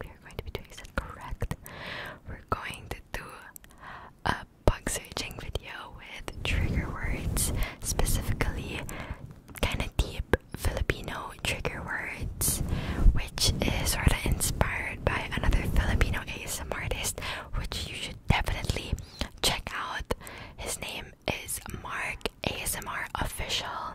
we are going to be doing correct. We're going to do a bug searching video with trigger words, specifically kind of deep Filipino trigger words, which is sort of inspired by another Filipino ASMR artist, which you should definitely check out. His name is Mark ASMR Official.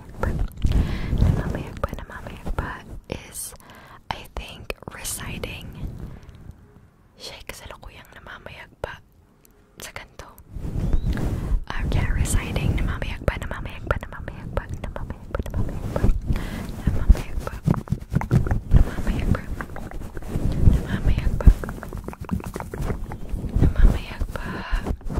Akbar. Namami Akbar, Namami Akbar is, I think, reciting Sheikh Salukuyang Namami Akbar sa kanto. Uh, yeah, reciting Namami Akbar, Namami Akbar, Namami Akbar, Namami Akbar, Namami Akbar, Namami Akbar, Namami Akbar, Namami Akbar, Namami Akbar, Namami Akbar,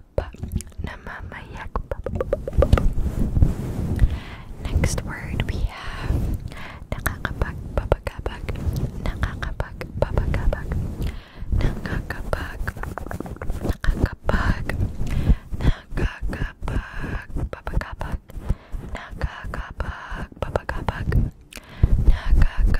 yakpa. Namama yakpa. Next word we have nakakapag babagabag. Nakakapag babagabag. Nakakapag. Nakakapag. Nakakapag babagabag. Nakakapag babagabag. Nakakapag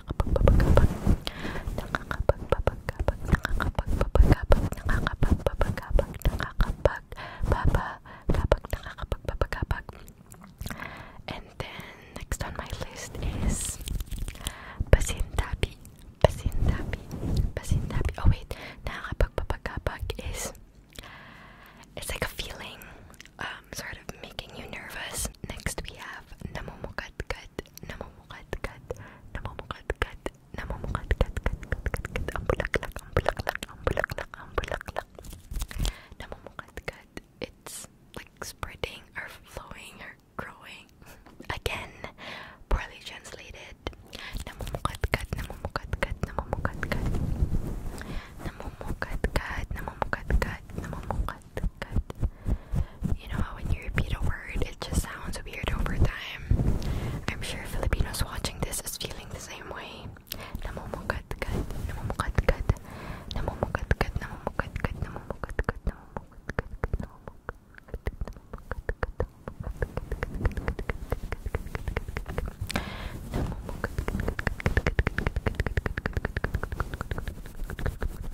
And then next on my list is Pasintabi. Pasintabi. Pasintabi. Oh wait, nakakapagpapagkapag is it's like a feeling um sort of making you nervous. Next we have namumukadkad. قد نمم قد قد نمم قد قد نمم قد قد قد قد قد قد أمبلقلق أمبلقلق أمبلقلق أمبلقلق نمم قد قد It's like spreading or flowing or growing again poorly translated نمم قد قد نمم قد قد نمم قد قد نمم قد قد نمم قد قد نمم قد good. You know how when you repeat a word, it just sounds weird over time. I'm sure Filipinos watching this is feeling the same way. Namumukatkat, namumukatkat, namumukatkat, namumukatkat, namumukatkat, namumukatkat, namumukatkat, namumukatkat, namumukatkat,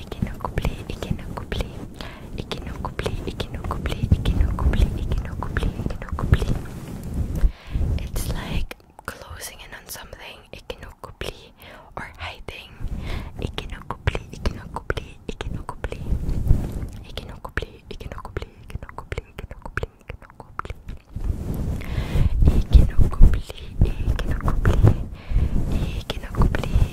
et qui nous couplait et qui nous couplait et qui nous couplait et qui nous couplait et qui nous couplait et qui nous couplait et qui nous couplait. It's like closing in on something et qui nous couplait or hiding et qui nous couplait et qui nous couplait et qui nous couplait et qui nous couplait et qui nous couplait et qui nous couplait et qui nous couplait et qui nous couplait. Et qui nous couplait, et qui nous couplait, et qui nous couplait,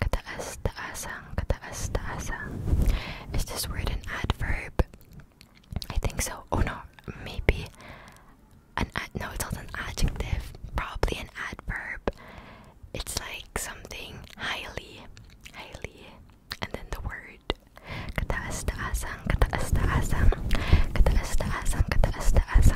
Kataas-taasan, kataas-taasan. Is this word an adverb? I think so. Oh no, maybe an ad no, it's not an adjective. Probably an adverb. It's like something highly, highly, and then the word. Kataas-taasan, kataas-taasan, kataas-taasan, kataas-taasan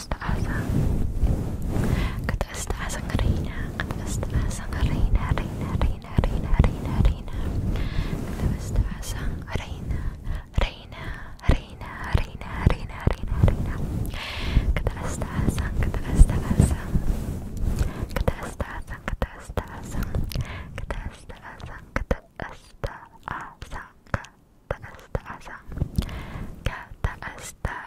أستعاذة قد أستعاذة رينا قد أستعاذة رينا رينا رينا رينا رينا رينا قد أستعاذة رينا رينا رينا رينا رينا رينا رينا قد أستعاذة قد أستعاذة قد أستعاذة قد أستعاذة قد أستعاذة قد أستعاذة قد أستعاذة قد أستعاذة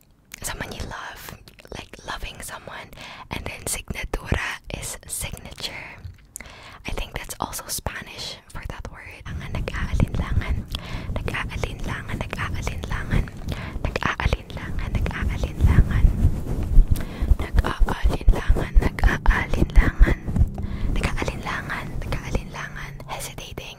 someone you love, like loving someone, and then signatura is signature. I think that's also Spanish for that word. Ang nag-aalinlangan, nag-aalinlangan, nag-aalinlangan, nag-aalinlangan, nag-aalinlangan, nag-aalinlangan, nag-aalinlangan, nag-aalinlangan, nag-aalinlangan, hesitating,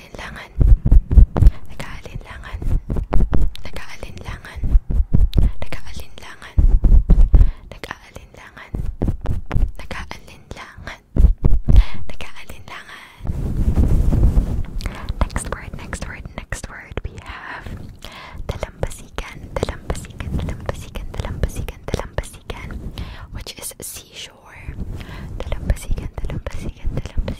Next word, next word, next word we have Dalampasigan, Dalampasigan, Dalampasigan, Dalampasigan, Dalampasigan, which is seashore. Dalampasigan, Dalampasigan, Dalampasigan.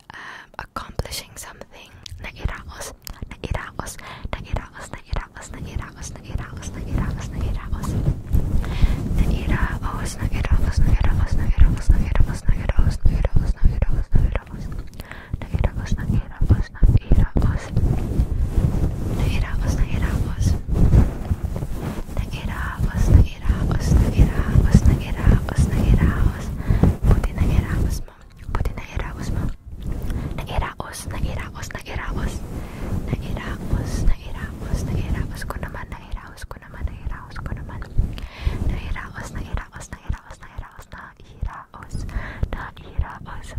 accomplishing something. Nairaos, nairaos, nairaos, nairaos, nairaos, nairaos, nairaos, nairaos. Nairaos, nairaos, nairaos, nairaos, nairaos, nairaos, nairaos, nairaos, nairaos. Nairaos, nairaos, nairaos. Nairaos, nairaos. Nairaos, nairaos, nairaos, nairaos. Buti nairaos mo. Buti nairaos mo. Nairaos, nairaos, nairaos. Nairaos, nairaos, nairaos ko naman, nairaos ko naman, nairaos ko naman. Nairaos, nairaos, nairaos, nairaos, nairaos, nairaos. Nairaos, nairaos, nairaos